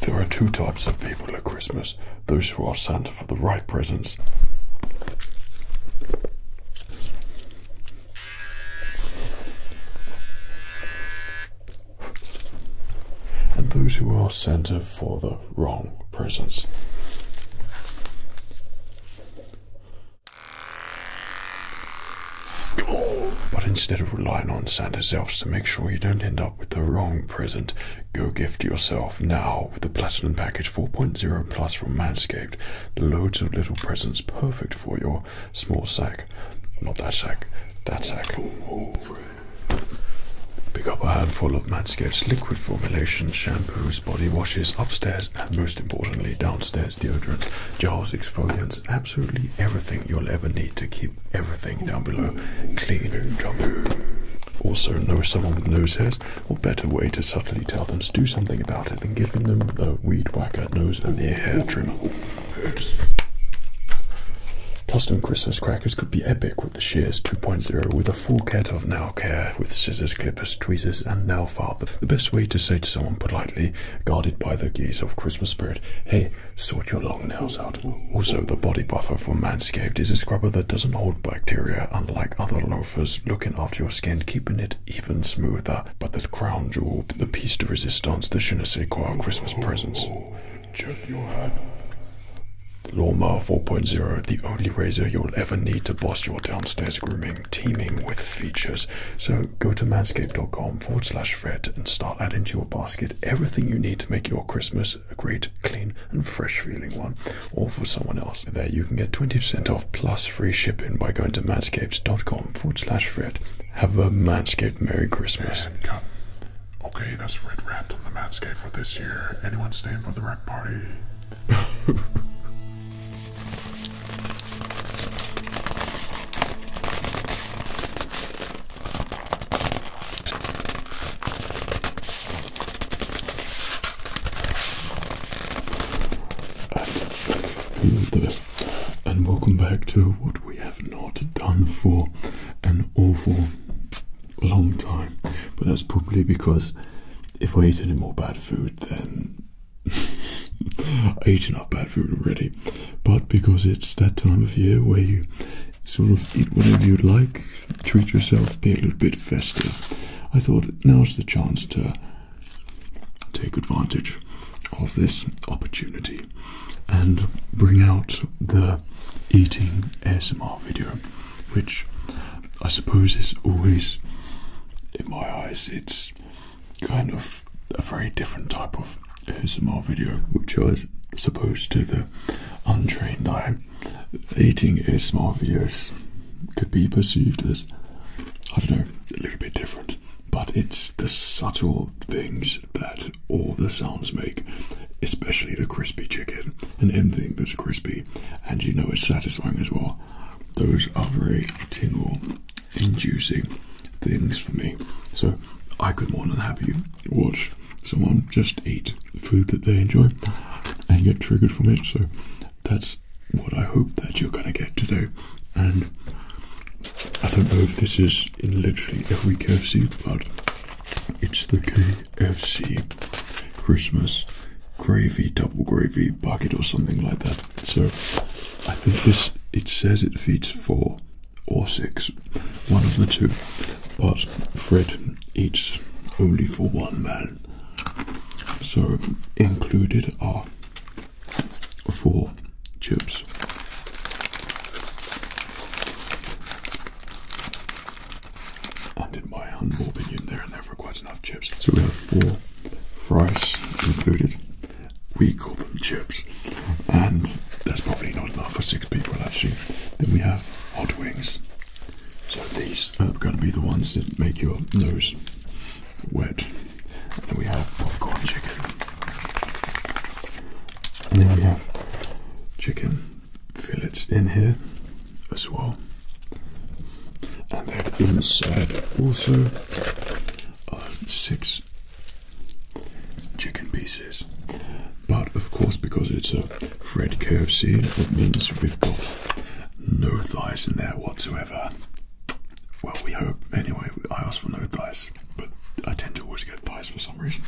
There are two types of people at Christmas those who are Santa for the right presents and those who are centered for the wrong presents, But instead of relying on Santa Selfs to make sure you don't end up with the wrong present, go gift yourself now with the Platinum Package 4.0 Plus from Manscaped Loads of little presents, perfect for your small sack. Not that sack, that sack. Pick up a handful of Manscaped's liquid formulations, shampoos, body washes upstairs, and most importantly downstairs deodorant, gels, exfoliants, absolutely everything you'll ever need to keep everything down below clean. and Also, know someone with nose hairs, What better way to subtly tell them to do something about it. I've been giving them a weed whacker nose and ear hair trimmer. Custom Christmas crackers could be epic with the Shears 2.0 with a full kit of nail care with scissors, clippers, tweezers, and nail file. The best way to say to someone politely, guarded by the gaze of Christmas spirit, hey, sort your long nails out. Also, the Body Buffer for Manscaped is a scrubber that doesn't hold bacteria unlike other low looking after your skin, keeping it even smoother. But the crown jewel, the piece de resistance, the je ne sais Christmas presents. Oh, check your hand. Lawnmower 4.0, the only razor you'll ever need to boss your downstairs grooming, teeming with features. So go to manscaped.com forward slash Fred and start adding to your basket everything you need to make your Christmas a great, clean, and fresh feeling one, or for someone else. There you can get 20% off plus free shipping by going to matscapescom forward slash Fred. Have a Manscaped Merry Christmas. Um, okay, that's Fred wrapped on the matscape for this year. Anyone staying for the wrap party? and welcome back to what we have not done for an awful long time. But that's probably because if I eat any more bad food, then I eat enough bad food already. But because it's that time of year where you sort of eat whatever you'd like, treat yourself, be a little bit festive, I thought now's the chance to take advantage of this opportunity and bring out the eating ASMR video, which I suppose is always, in my eyes, it's kind of a very different type of ASMR video, which I suppose to the untrained eye, eating ASMR videos could be perceived as, I don't know, a little bit different but it's the subtle things that all the sounds make, especially the crispy chicken and anything that's crispy, and you know it's satisfying as well. Those are very tingle inducing things for me. So I could more than happy watch someone just eat the food that they enjoy and get triggered from it. So that's what I hope that you're going to get today. And I don't know if this is in literally every KFC, but it's the KFC Christmas gravy, double gravy bucket or something like that. So I think this, it says it feeds four or six, one of the two. But Fred eats only for one man. So included are Four chips. And in my humble opinion, there are never quite enough chips. So we have four fries included. We call them chips, and that's probably not enough for six people actually. Then we have hot wings. So these are going to be the ones that make your nose wet. And then we have popcorn chicken. And then we have chicken fillets in here as well. And then inside also are six chicken pieces. But of course, because it's a Fred KFC, it means we've got no thighs in there whatsoever. Well, we hope. Anyway, I asked for no thighs, but I tend to always get thighs for some reason.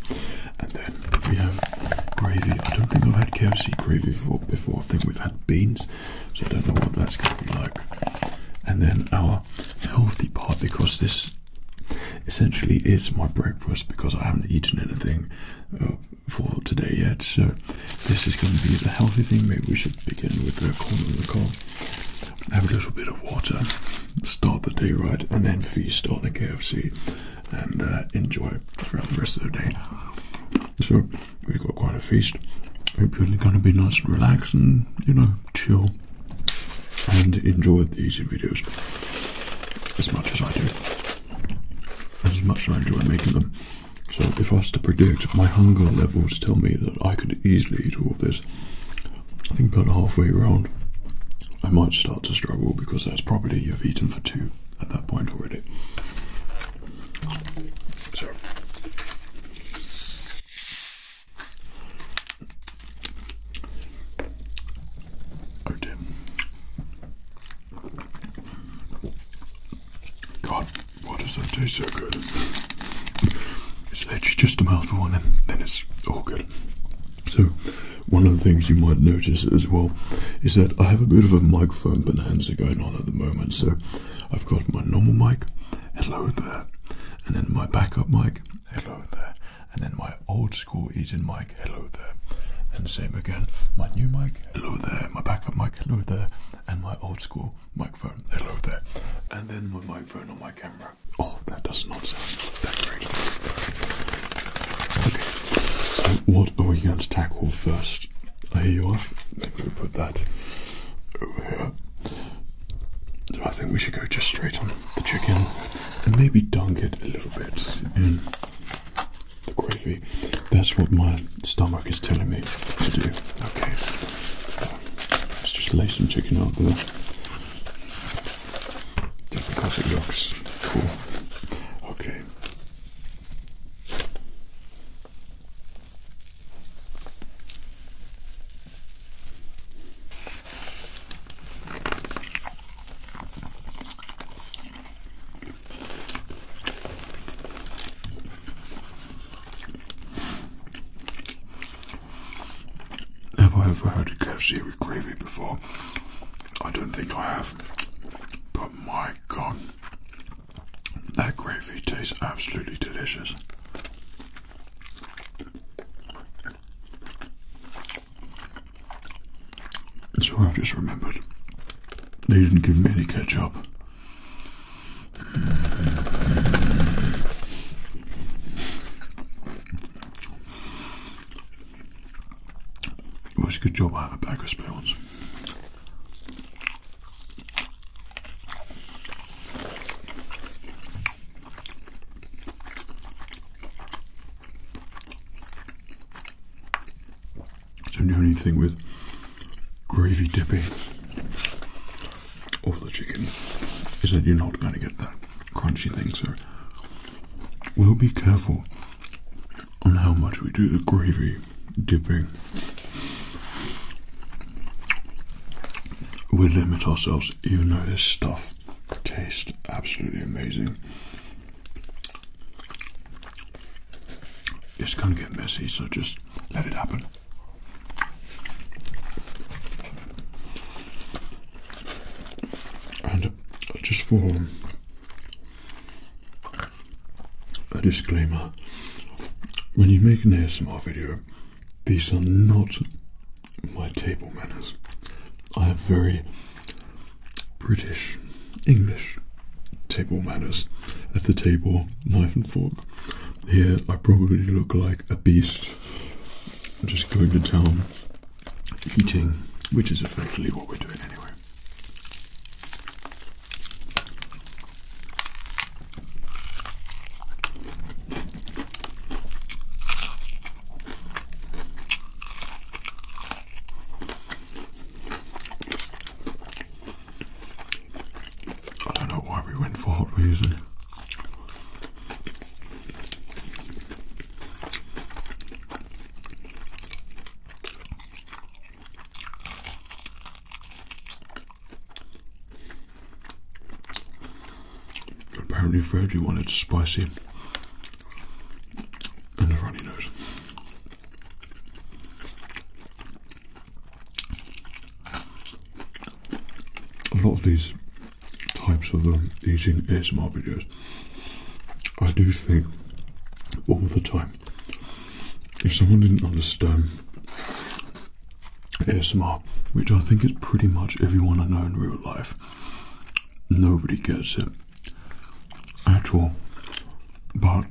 And then we have gravy. I don't think I've had KFC gravy before. before. I think we've had beans, so I don't know what that's going to be like. And then our healthy part, because this essentially is my breakfast, because I haven't eaten anything uh, for today yet. So this is going to be a healthy thing. Maybe we should begin with the corn on the cob have a little bit of water, start the day right, and then feast on the KFC and uh, enjoy throughout the rest of the day. So we've got quite a feast. Hope you're going to be nice and relaxed and, you know, chill and enjoy these videos as much as I do. As much as I enjoy making them. So if I was to predict, my hunger levels tell me that I could easily eat all of this. I think about halfway around, I might start to struggle because that's probably you've eaten for two at that point already. So. Oh God, why does that taste so good? It's actually just a mouthful and then, it's all good. So, one of the things you might notice as well is that I have a bit of a microphone bonanza going on at the moment. So, I've got my normal mic, hello there, and then my backup mic, hello there, and then my old school Eaton mic, hello there. And same again, my new mic, hello there, my backup mic, hello there, and my old school microphone. Hello there. And then my microphone on my camera. Oh, that does not sound that great. Okay, so what are we going to tackle first? I hear you ask. Maybe we put that over here. So I think we should go just straight on the chicken and maybe dunk it a little bit in the gravy. That's what my stomach is telling me to do. Okay. Let's just lay some chicken out there. just because it looks cool. Okay. Have I ever had a KFC with gravy before? I don't think I have. But my god, that gravy tastes absolutely delicious. So I just remembered they didn't give me any ketchup. Well, a good job I have a bag of spare ones. So the only thing with gravy dipping of the chicken He said, you're not going to get that crunchy thing. sir." we'll be careful on how much we do the gravy dipping. We limit ourselves, even though this stuff tastes absolutely amazing. It's gonna get messy, so just let it happen. And just for um, a disclaimer, when you make an ASMR video, these are not my table manners. I have very British, English table manners at the table, knife and fork. Here I probably look like a beast just going to town eating, which is effectively what we're doing anyway. I don't know why we went for hot music. Apparently, Freddie wanted spicy and a runny nose a lot of these types of um, eating ASMR videos, I do think all the time if someone didn't understand ASMR, which I think is pretty much everyone I know in real life, nobody gets it at all. But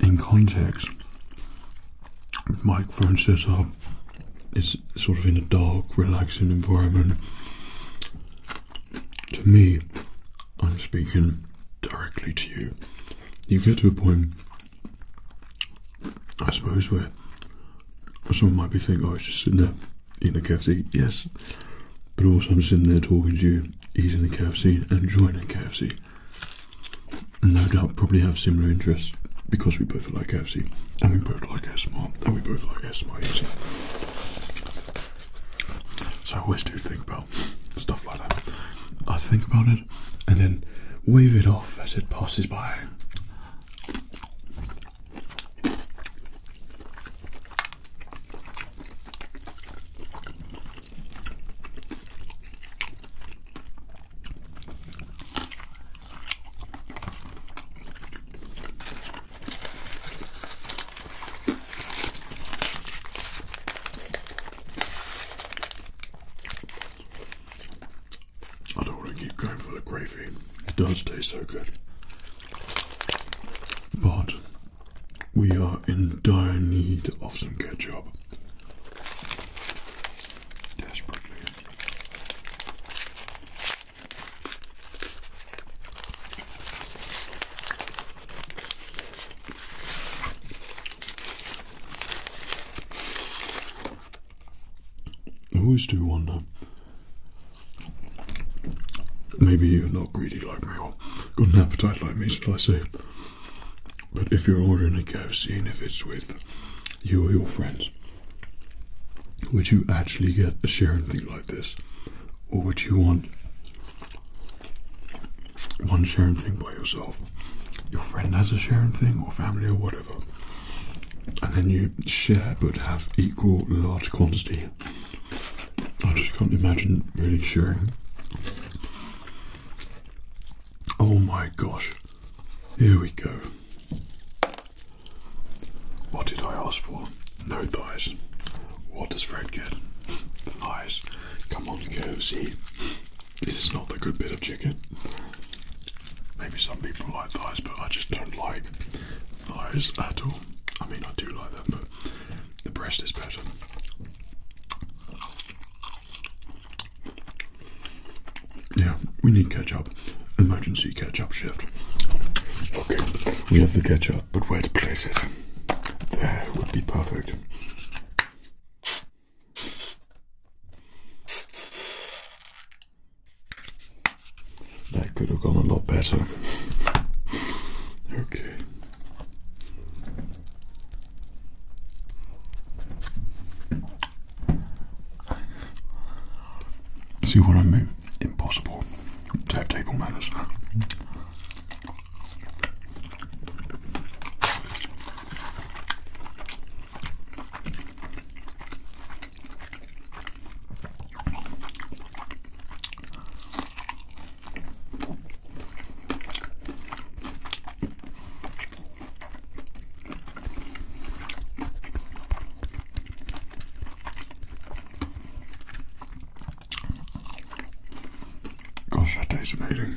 in context, Mike Francis uh, is sort of in a dark, relaxing environment. To me, I'm speaking directly to you. You get to a point, I suppose, where someone might be thinking, oh, was just sitting there in a cafe." Yes. But also, I'm sitting there talking to you, eating the cafe, and enjoying the cafe and no doubt probably have similar interests because we both like KFC and we both like ASMR and we both like ASMR So I always do think about stuff like that. I think about it and then wave it off as it passes by. I don't want to keep going for the gravy. It does taste so good. But we are in dire need of some ketchup desperately. I always do wonder. Maybe you're not greedy like me or got an appetite like me, shall I say? But if you're ordering a KFC and if it's with you or your friends, would you actually get a sharing thing like this? Or would you want one sharing thing by yourself? Your friend has a sharing thing or family or whatever. And then you share but have equal large quantity. I just can't imagine really sharing. Oh my gosh. Here we go. What did I ask for? No thighs. What does Fred get? thighs. Come on, KFC. This is not the good bit of chicken. Maybe some people like thighs, but I just don't like thighs at all. I mean, I do like them, but the breast is better. Yeah, we need ketchup. Emergency ketchup shift. Okay, we have the ketchup, but where to place it? There would be perfect. That could have gone a lot better. Okay. See what I mean? Impossible to have table manners. Gosh, that tastes amazing.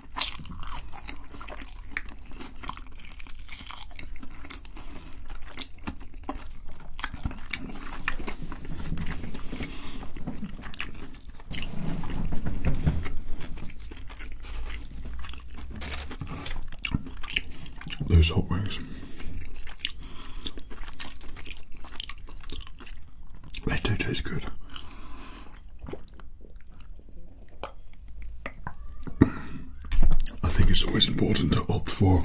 Those hot wings. They do taste good. I think it's always important to opt for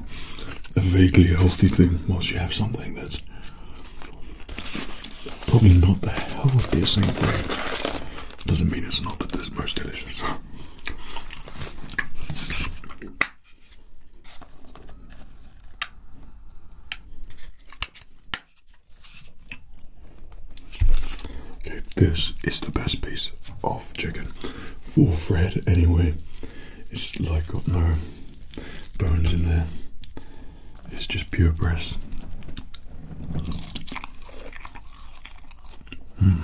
a vaguely healthy thing whilst you have something that's probably not the healthiest thing for you. Doesn't mean it's not the most delicious. Okay, this is the best piece of chicken for Fred anyway. It's like got no bones in there. It's just pure breast. Hmm.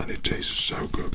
And it tastes so good.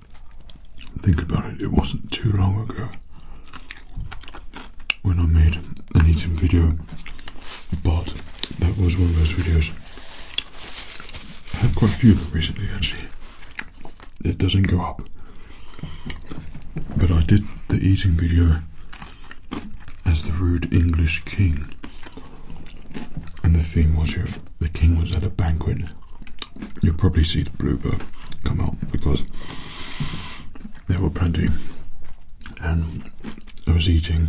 Think about it, it wasn't too long ago when I made an eating video, but that was one of those videos. I have quite a few of them recently actually. It doesn't go up. But I did the eating video as the rude English king and the theme was the king was at a banquet. You'll probably see the blooper come out because there were plenty. And I was eating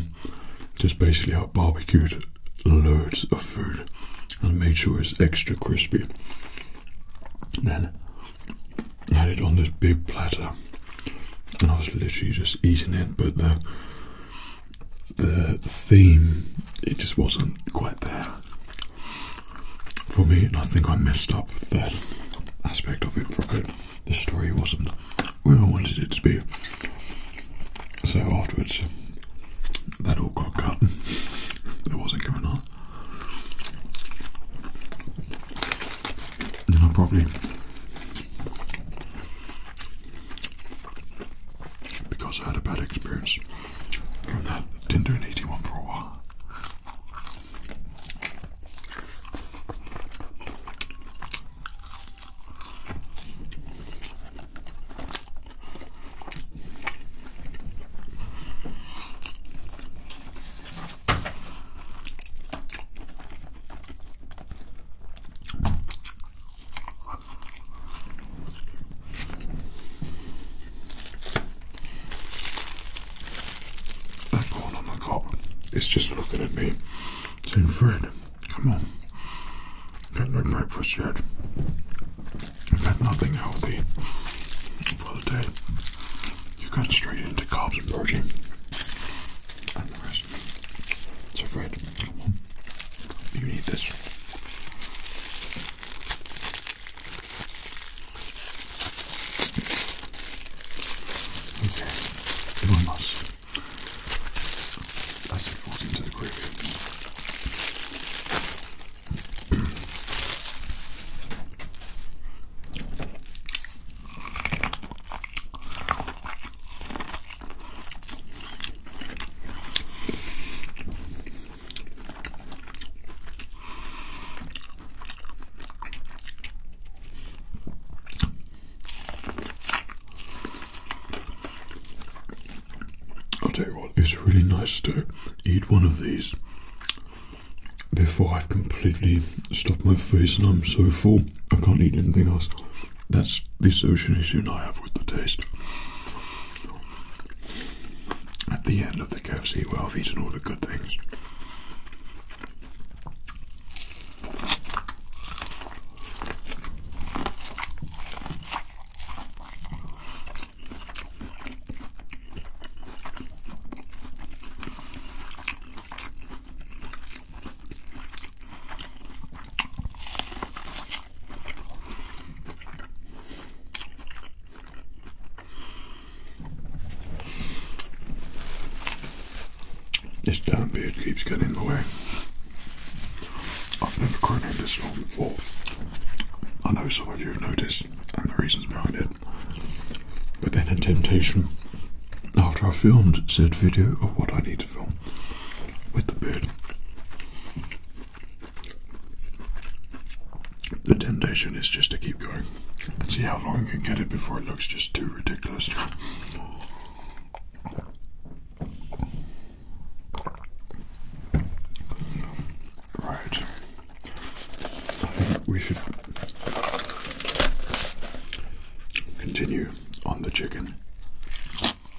just basically I barbecued loads of food and made sure it's extra crispy. And I had it on this big platter and I was literally just eating it but the the theme, it just wasn't quite there for me, and I think I messed up that aspect of it for it. The story wasn't where I wanted it to be. So afterwards, that all got cut. it wasn't going on. And I probably because I had a bad experience in that didn't do an 81 for a while. That corn on the cop is just looking at me, saying, Fred, come on, don't no breakfast yet. i have had nothing healthy for the day. You've gone straight into carbs and protein and the rest. So, Fred, you need this. Okay, vamos. As it falls into the groove. I'll tell you what, it's really nice to eat one of these before I've completely stuffed my face and I'm so full I can't eat anything else. That's the issue I have with the taste. At the end of the KFC, where I've eaten all the good things. This damn beard keeps getting in the way. I've never grown it this long before. I know some of you have noticed and the reasons behind it. But then a temptation after I filmed said video of what I need to film with the beard the temptation is just to keep going and see how long you can get it before it looks just too ridiculous. Right. We should continue on the chicken.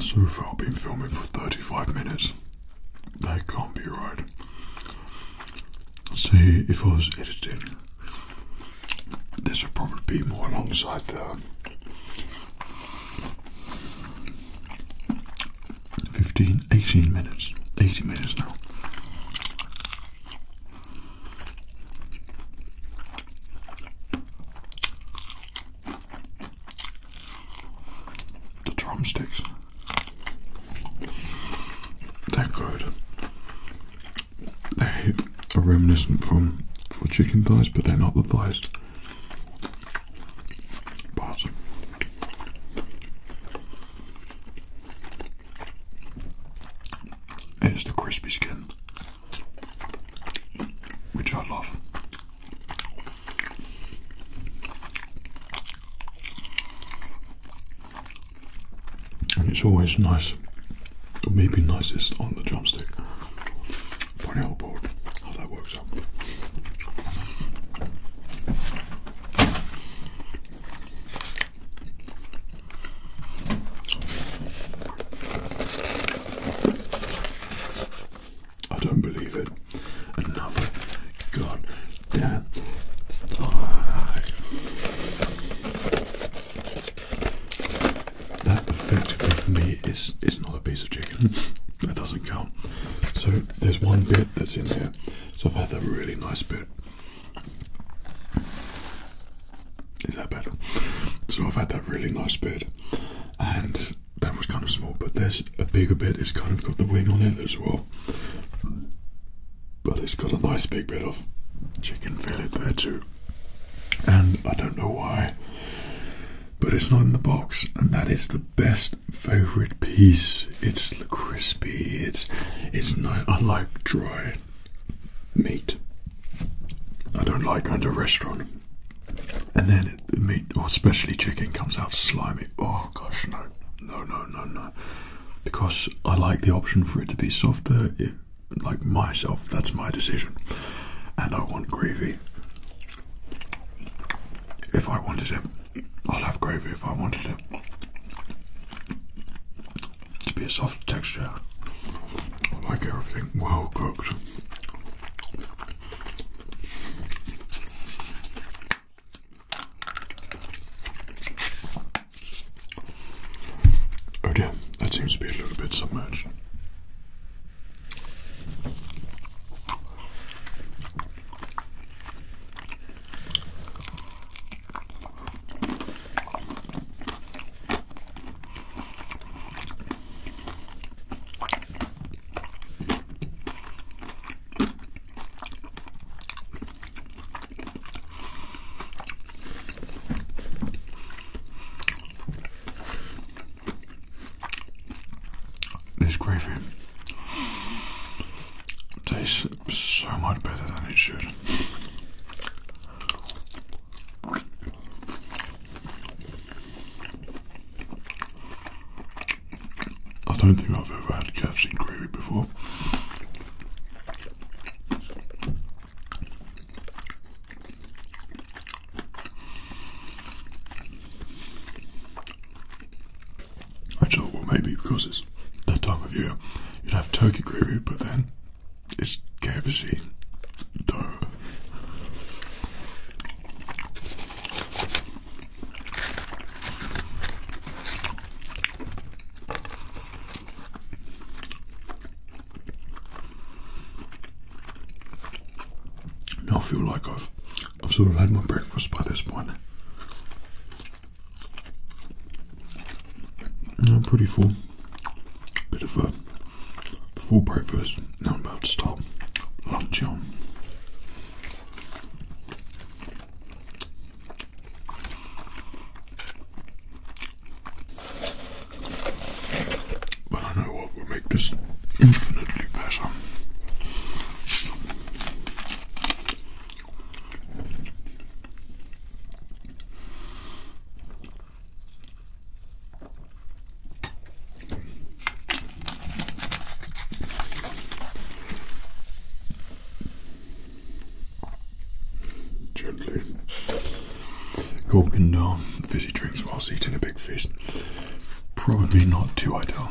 So far, I've been filming for 35 minutes. That can't be right. See, if I was edited. this would probably be more alongside the 15 18 minutes, Eighteen minutes now. The drumsticks, they're good. They are reminiscent from chicken thighs, but they're not the thighs. But is the crispy skin, which I love. And it's always nice, maybe nicest on the drumstick. Funny old board, how that works out. I don't believe it. Another goddamn thigh. That effectively for me is is not a piece of chicken. that doesn't count. So there's one bit that's in here so I've had a really nice bit. Is that better? So I've had that really nice bit, and that was kind of small, but there's a bigger bit. It's kind of got the wing on it as well, but it's got a nice big bit of chicken fillet there too. And I don't know why, but it's not in the box, and that is the best favorite piece. It's crispy. It's it's nice. I like dry meat. I don't like going to a restaurant. And then the meat, or especially chicken, comes out slimy. Oh gosh, no, no, no, no, no. Because I like the option for it to be softer. like myself, that's my decision. And I want gravy. If I wanted it, I'd have gravy if I wanted it to be a soft texture. I like everything well cooked. Oh dear, that seems to be a little bit submerged. This gravy tastes so much better than it should. I don't think I've ever had KFC gravy before. I thought, well, maybe because it's that time of year, you'd have turkey gravy, but then it's KFC. though. Now I feel like I've sort of had my breakfast by this point. I'm pretty full. Bit of a full breakfast. Now I'm about to stop lunch on. But I know what will make this infinitely better. Gently gulping down fizzy drinks whilst eating a big fish. Probably not too ideal.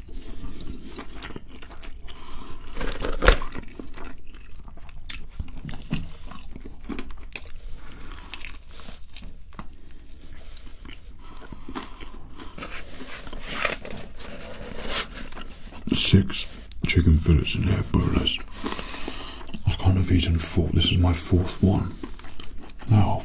Six chicken fillets in here, bonus. I can't have eaten four. This is my fourth one. Now,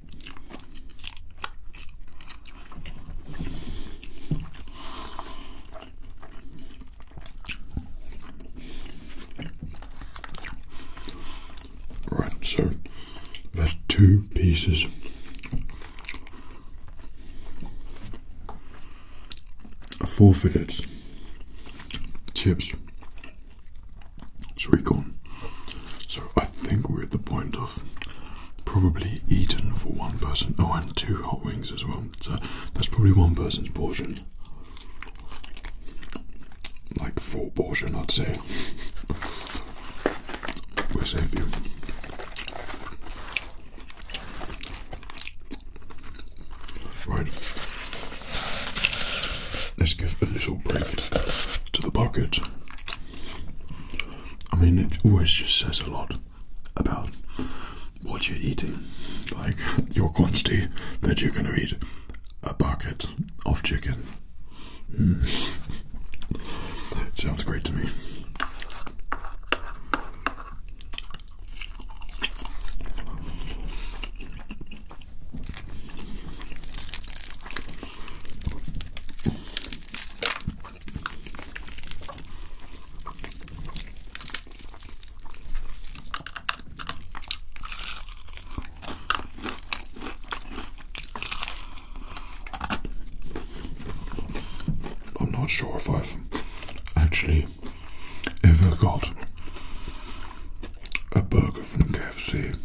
Right, so that's two pieces of four fillets, chips, sweet corn. So I think we're at the point of probably eaten for one person. Oh, and two hot wings as well. So that's probably one person's portion. Like four portion, I'd say. we'll save you. Right. Let's give a little break to the bucket. I mean, it always just says a lot about what you're eating, like your quantity that you're going to eat a bucket of chicken. Mm. sounds great to me. I'm not sure if I've actually ever got a burger from KFC.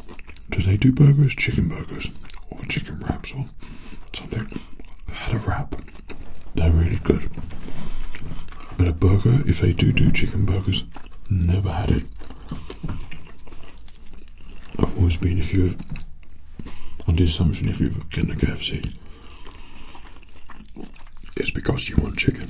Do they do burgers? Chicken burgers or chicken wraps or something. I had a wrap. They're really good. But a burger, if they do do chicken burgers, never had it. I've always been, if you're on the assumption if you have got a KFC, it's because you want chicken.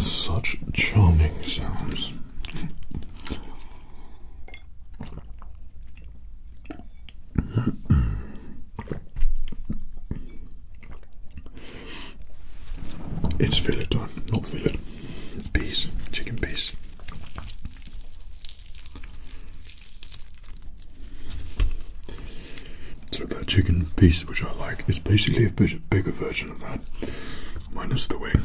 Such charming sounds. it's fillet time, not fillet. Peas, chicken peas. So that chicken piece, which I like, is basically a bigger version of that, minus the wing.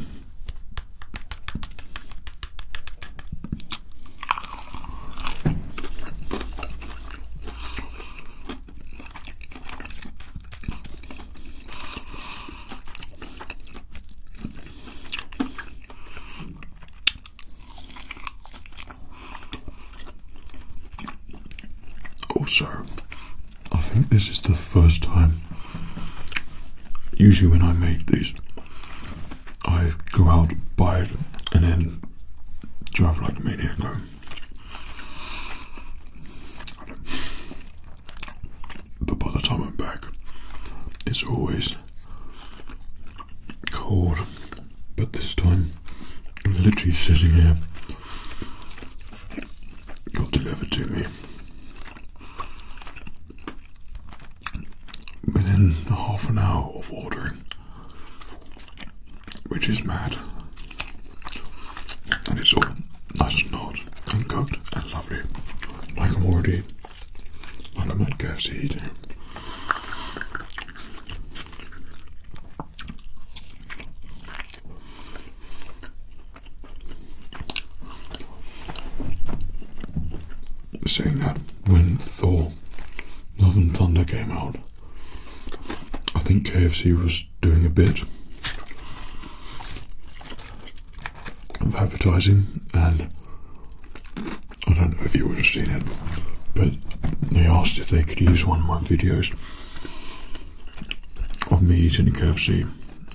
Also, I think this is the first time. Usually, when I make these, I go out, buy it, and then drive like a maniac But by the time I'm back, it's always cold, but this time I'm literally sitting here. Got delivered to me within half an hour of ordering, which is mad. And it's all nice and hot and cooked and lovely, like I'm already Bana bak gerçeğiydi. Saying that when Thor Love and Thunder came out, I think KFC was doing a bit of advertising and I don't know if you would have seen it, but they asked if they could use one of my videos of me eating a KFC,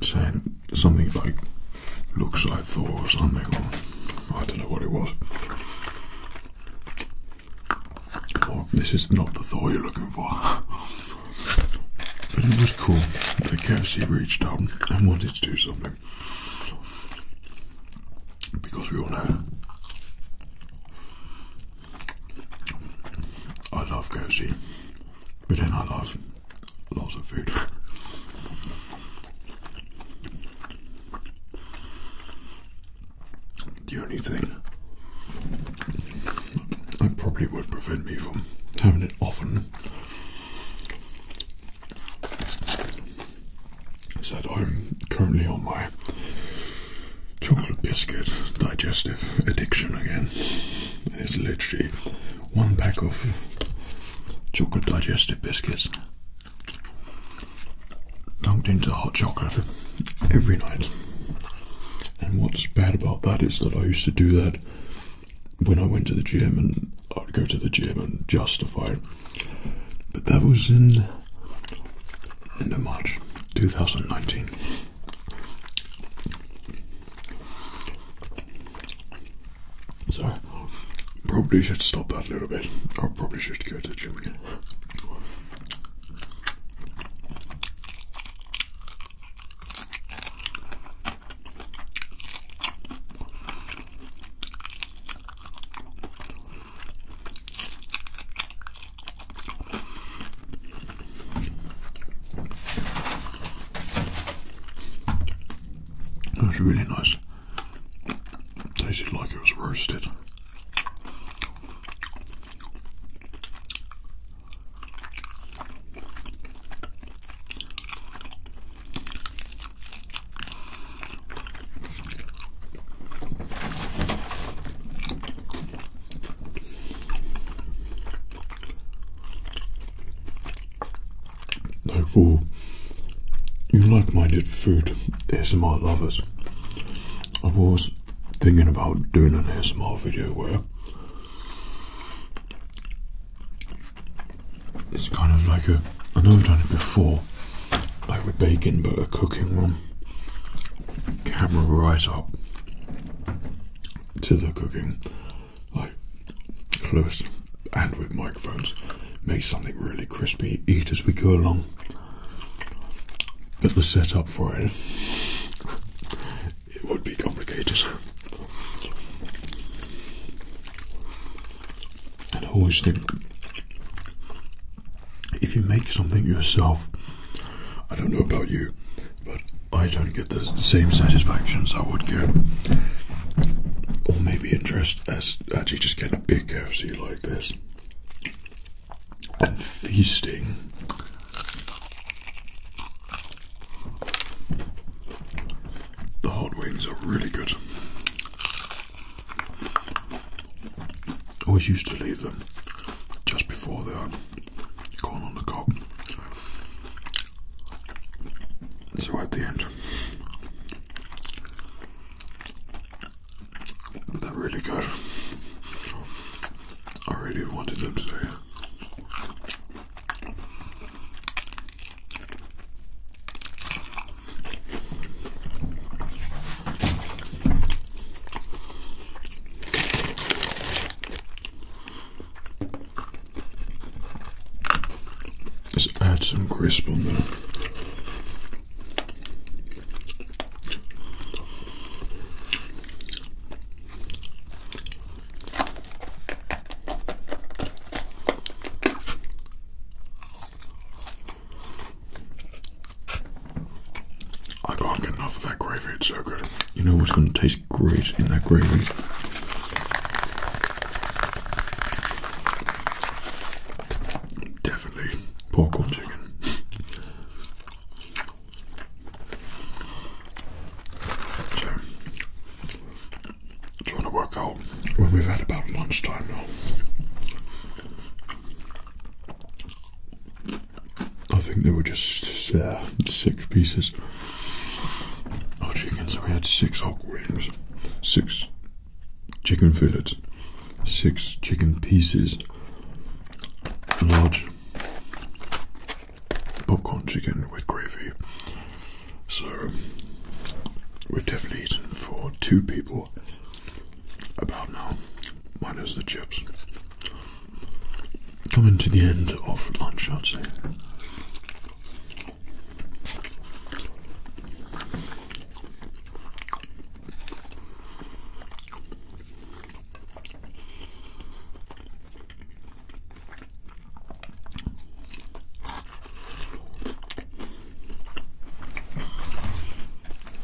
saying something like "looks like Thor" or something, I don't know what it was. this is not the Thor you're looking for. but it was cool The KFC reached out and wanted to do something because we all know I love KFC, but then I love lots of food. the only thing that probably would prevent me from having it often is that I'm currently on my chocolate biscuit digestive addiction again. It's literally one pack of chocolate digestive biscuits dunked into hot chocolate every night. And what's bad about that is that I used to do that when I went to the gym and I'd go to the gym and justify but that was in end of March 2019. So probably should stop that a little bit. I probably should go to the gym again. That was really nice. Tasted like it was roasted. Therefore, you like minded food ASMR lovers. I was thinking about doing an ASMR video where it's kind of like a, I know I've done it before, like with baking but a cooking one. Camera right up to the cooking, like close and with microphones. Make something really crispy, eat as we go along. But set up for it, it would be complicated. And who is the? If you make something yourself, I don't know about you, but I don't get the same satisfaction as I would get, or maybe interest as actually just getting a big KFC like this and feasting. The hot wings are really good. Always used to leave them just before they are going on the cob. So at the end, they're really good. I really wanted them say. Let's add some crisp on there. I can't get enough of that gravy, it's so good. You know what's going to taste great in that gravy? Definitely pork or chicken. trying to work out when we've had about lunchtime now. I think there were just uh, six pieces of oh, chicken, so we had six hog wings, six chicken fillets, six chicken pieces, large popcorn chicken with gravy. So we've definitely eaten for two people about now, minus the chips. Coming to the end of lunch, I'd say.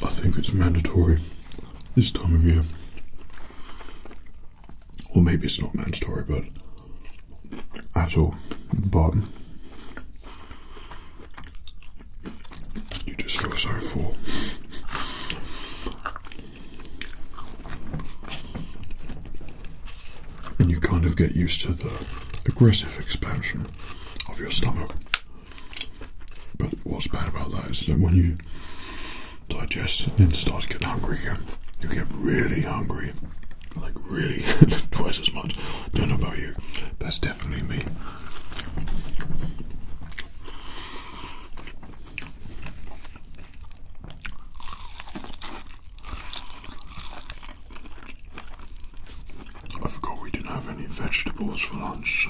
I think it's mandatory this time of year. Or maybe it's not mandatory, but at all. But you just feel so full. And you kind of get used to the aggressive expansion of your stomach. But what's bad about that is that when you digest and start getting hungry again, you get really hungry. Like really twice as much. Don't know about you. That's definitely me. I forgot we didn't have any vegetables for lunch,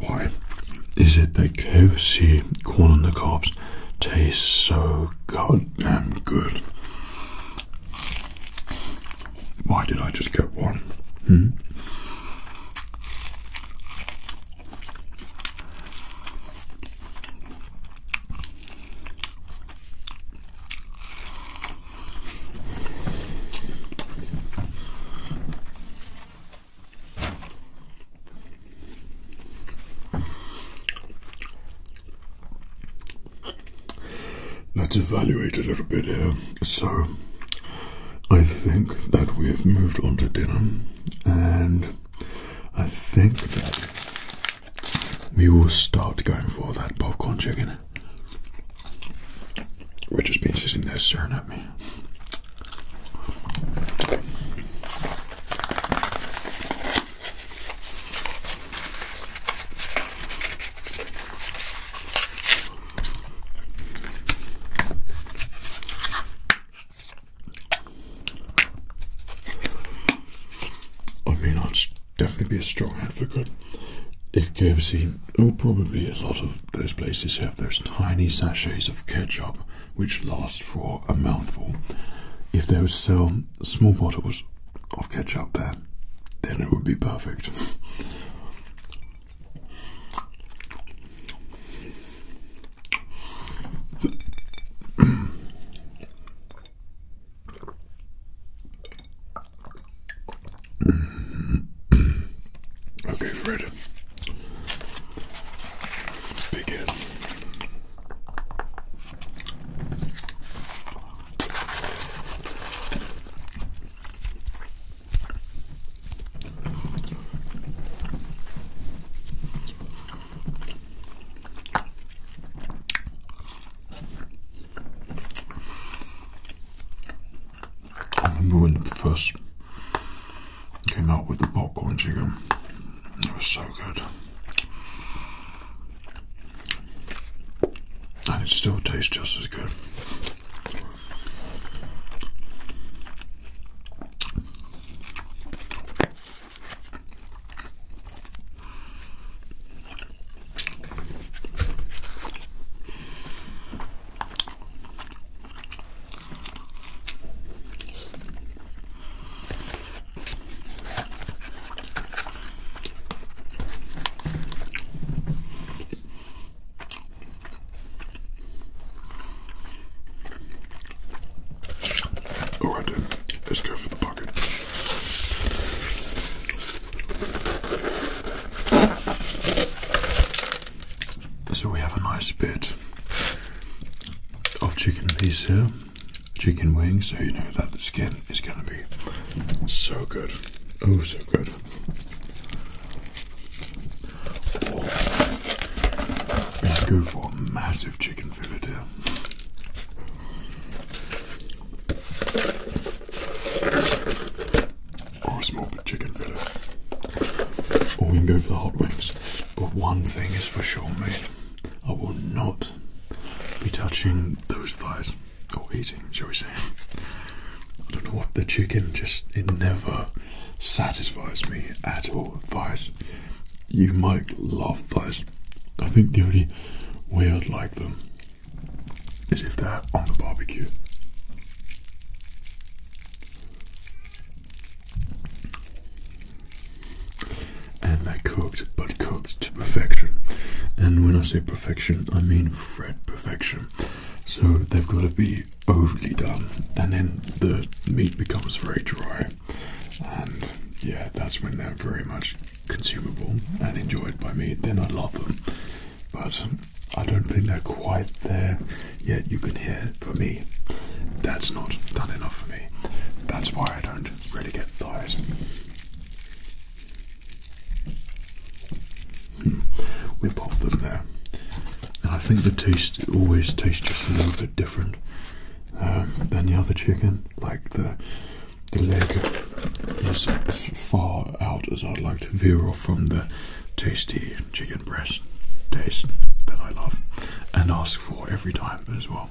Why is it that KFC corn on the cobs tastes so goddamn good? Why did I just get one? Hmm? Let's evaluate a little bit here. So, I think that we have moved on to dinner, and I think that we will start going for that popcorn chicken. Which has been sitting there staring at me. I mean, I'd definitely be a strong advocate if KFC Oh, probably a lot of those places have those tiny sachets of ketchup which last for a mouthful. If they would sell small bottles of ketchup there, then it would be perfect okay, Fred. Begin. I remember when it first came out with the popcorn chicken. It was so good. And it still tastes just as good. All right then, let's go for the bucket. So we have a nice bit of chicken piece here, chicken wing. so you know that the skin is going to be so good. Oh, so good. Or go for a massive chicken fillet here or a smoked chicken fillet, or we can go for the hot wings. But one thing is for sure, mate, I will not be touching those thighs or eating, shall we say. I don't know what the chicken just it never satisfies me at all. Thighs, you might love thighs. I think the only way I'd like them is if they're on the barbecue. And I cooked, but cooked to perfection. And when I say perfection, I mean red perfection. So they've got to be overly done, and then the meat becomes very dry. And yeah, that's when they're very much consumable and enjoyed by me. Then I love them. But I don't think they're quite there yet. You can hear for me, that's not done enough for me. That's why I don't really get thighs. Hmm. We pop them there, and I think the taste always tastes just a little bit different um, than the other chicken. Like the the leg is as far out as I'd like to veer off from the tasty chicken breast taste that I love and ask for every time as well.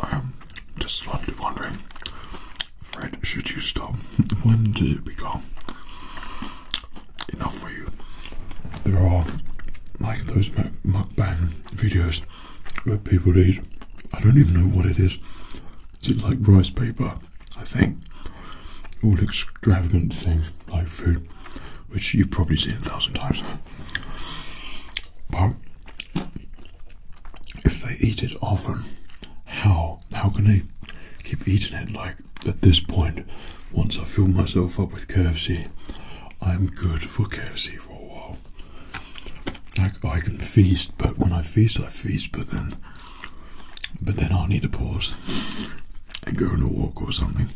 I'm um, just slightly wondering, Fred, should you stop? when did it become enough for you? There are like those mukbang videos where people eat, I don't even know what it is. Is it like rice paper? I think. All extravagant things like food, which you've probably seen a thousand times. But if they eat it often, how how can they keep eating it? Like at this point, once I fill myself up with KFC, I'm good for KFC for a while. Like I can feast, but when I feast, I feast. But then, but then I need to pause and go on a walk or something.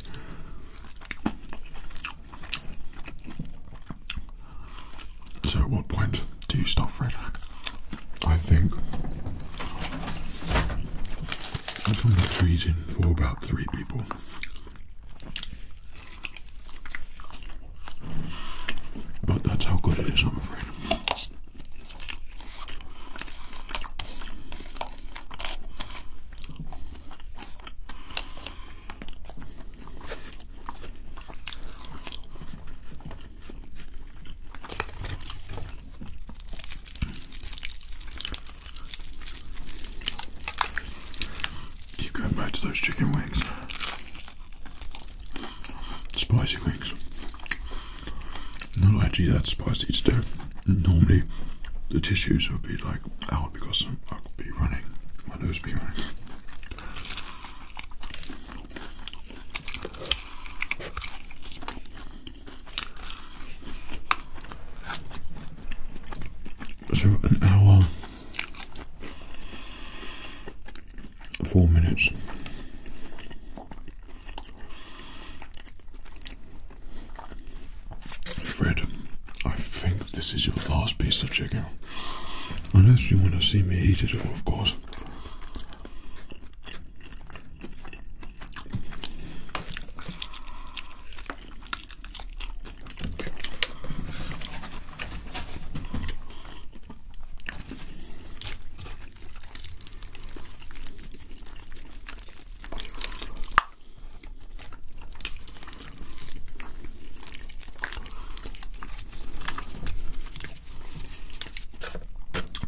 So, at what point do you stop, Fred? I think I can put trees in for about three people. But that's how good it is, I'm afraid. Keep going back to those chicken wings. Spicy wings. Not actually that spicy today. Normally the tissues would be like out because I'd be running. My nose would be running. So an hour, four minutes. Fred, I think this is your last piece of chicken. Unless you want to see me eat it all, of course.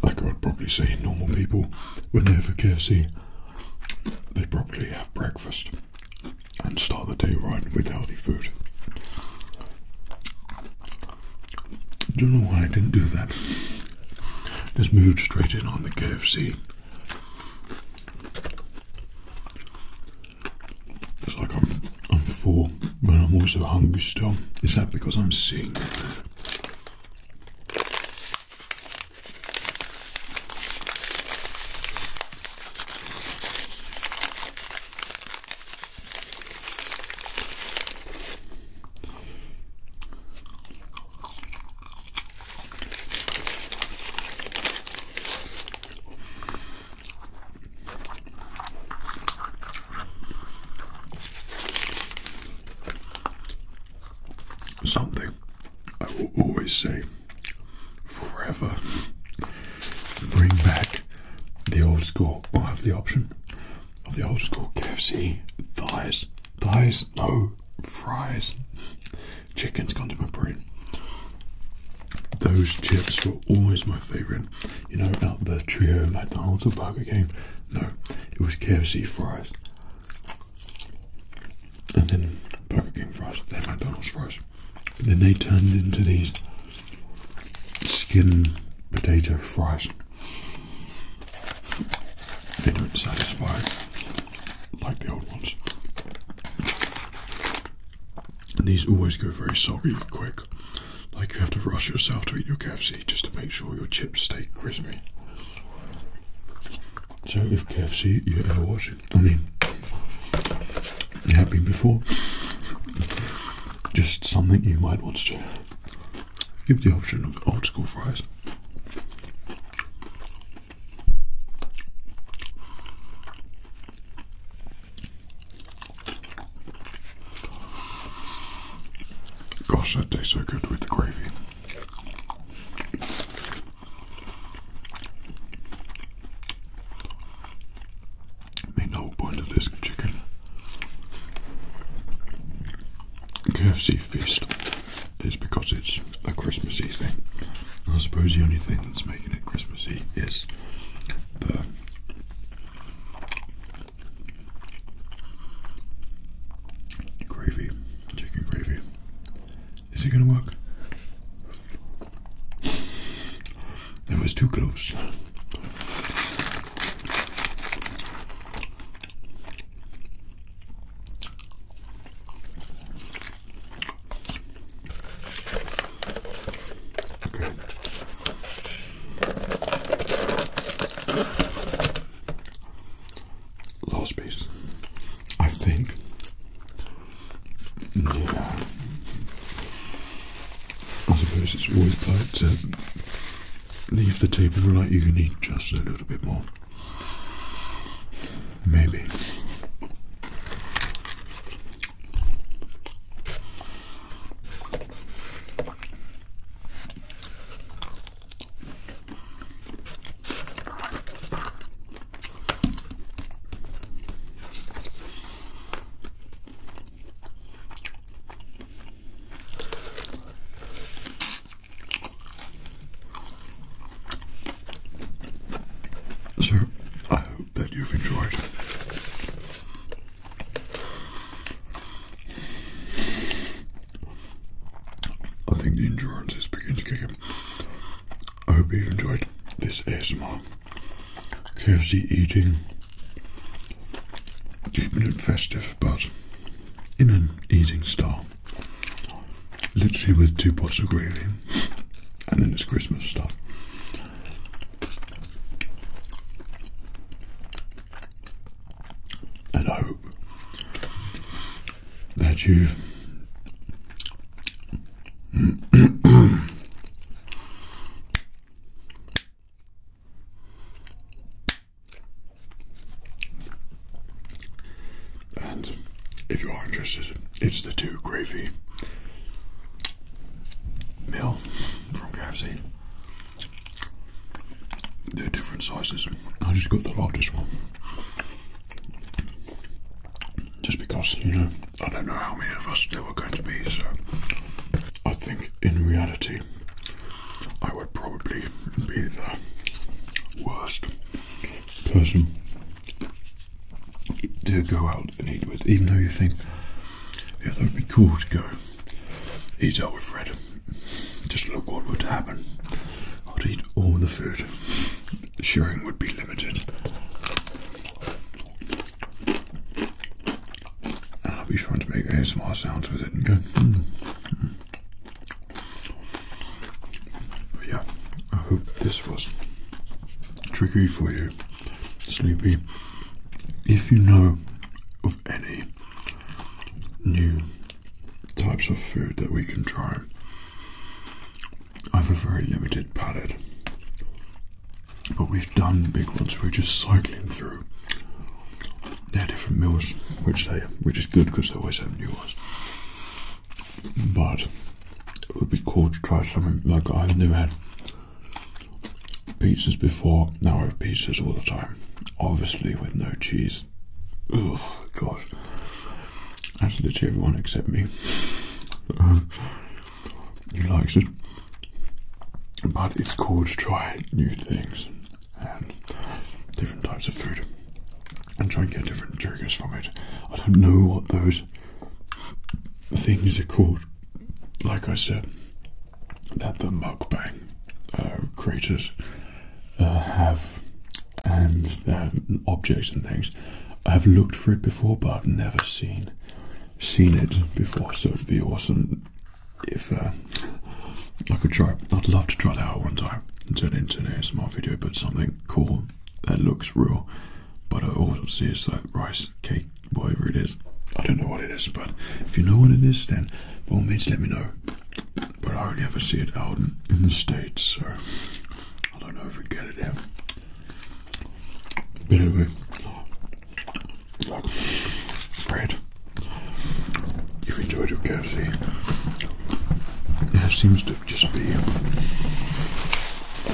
I could probably say, normal people, when they have a KFC, they probably have breakfast and start the day right with healthy food. Don't know why I didn't do that. Just moved straight in on the KFC. It's like I'm I'm full, but I'm also hungry still. Is that because I'm sick? Something I will always say forever bring back the old school. I have the option of the old school KFC thighs, thighs, no fries. Chicken's gone to my brain. Those chips were always my favourite. You know, out the trio McDonald's or Burger King. No, it was KFC fries. And then Burger King fries, then McDonald's fries. then they turned into these skin potato fries. They don't satisfy like the old ones. these always go very soggy quick. Like you have to rush yourself to eat your KFC just to make sure your chips stay crispy. So if KFC you ever watch it, I mean, you have been before. Just something you might want to Give the option of old school fries. Gosh, that tastes so good with the gravy. I mean, point of this chicken KFC feast is because it's a Christmassy thing. I suppose the only thing that's making it Christmassy is the Gravy, chicken gravy. Is it gonna work? That was too close. Last piece, I think. I suppose it's always polite to leave the table like you can eat just a little bit more. Maybe. Sir, I hope that you've enjoyed I think the endurance is beginning to kick in. I hope you enjoyed this ASMR KFC eating, keeping it festive, but in an eating style. Literally with two pots of gravy, and then it's Christmas stuff and I hope that you and if you are interested, it's the two gravy meal from KFC. They're different sizes. I just got the largest one. Just because, you know, I don't know how many of us there were going to be, so I think in reality I would probably be the worst person to go out and eat with, even though you think yeah, that would be cool to go eat out with Fred. Just look what would happen. I'd eat all the food. Shearing would be limited. I'll be trying to make ASMR sounds with it and hmm, hmm. yeah, I hope this was tricky for you sleepy. If you know of any new types of food that we can try, I have a very limited palate. But we've done big ones, we're just cycling through. They're different meals, which they which is good because they always have new ones. But it would be cool to try something like I've never had pizzas before, now I have pizzas all the time. Obviously with no cheese. Oh God. That's literally everyone except me. he likes it. But it's cool to try new things and different types of food and try and get different triggers from it. I don't know what those things are called, like I said, that the mukbang uh, creators uh, have and objects and things. I've looked for it before, but I've never seen seen it before. So it'd be awesome if uh, I could try. I'd love to try that out one time and turn it into an ASMR video, but something cool that looks real. But I also see it's like rice cake whatever it is. I don't know what it is, but if you know what it is, then by all means let me know. But I don't ever see it out in, the States, so I don't know if we get it here. But anyway, like, Fred, you've enjoyed your coffee. It seems to just be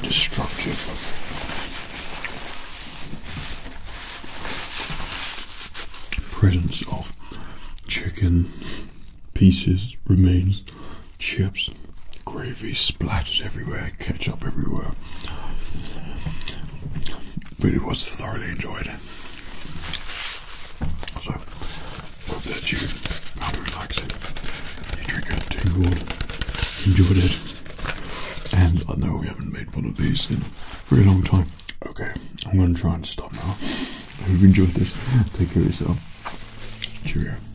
destructive presence of chicken pieces, remains, chips, gravy splatters everywhere, ketchup everywhere. But it was thoroughly enjoyed. So hope that you found it relaxing. You triggered, tingled, enjoyed it. And I know we haven't made one of these in a very long time. Okay, I'm going to try and stop now. I hope you enjoyed this. Take care of yourself. Cheers.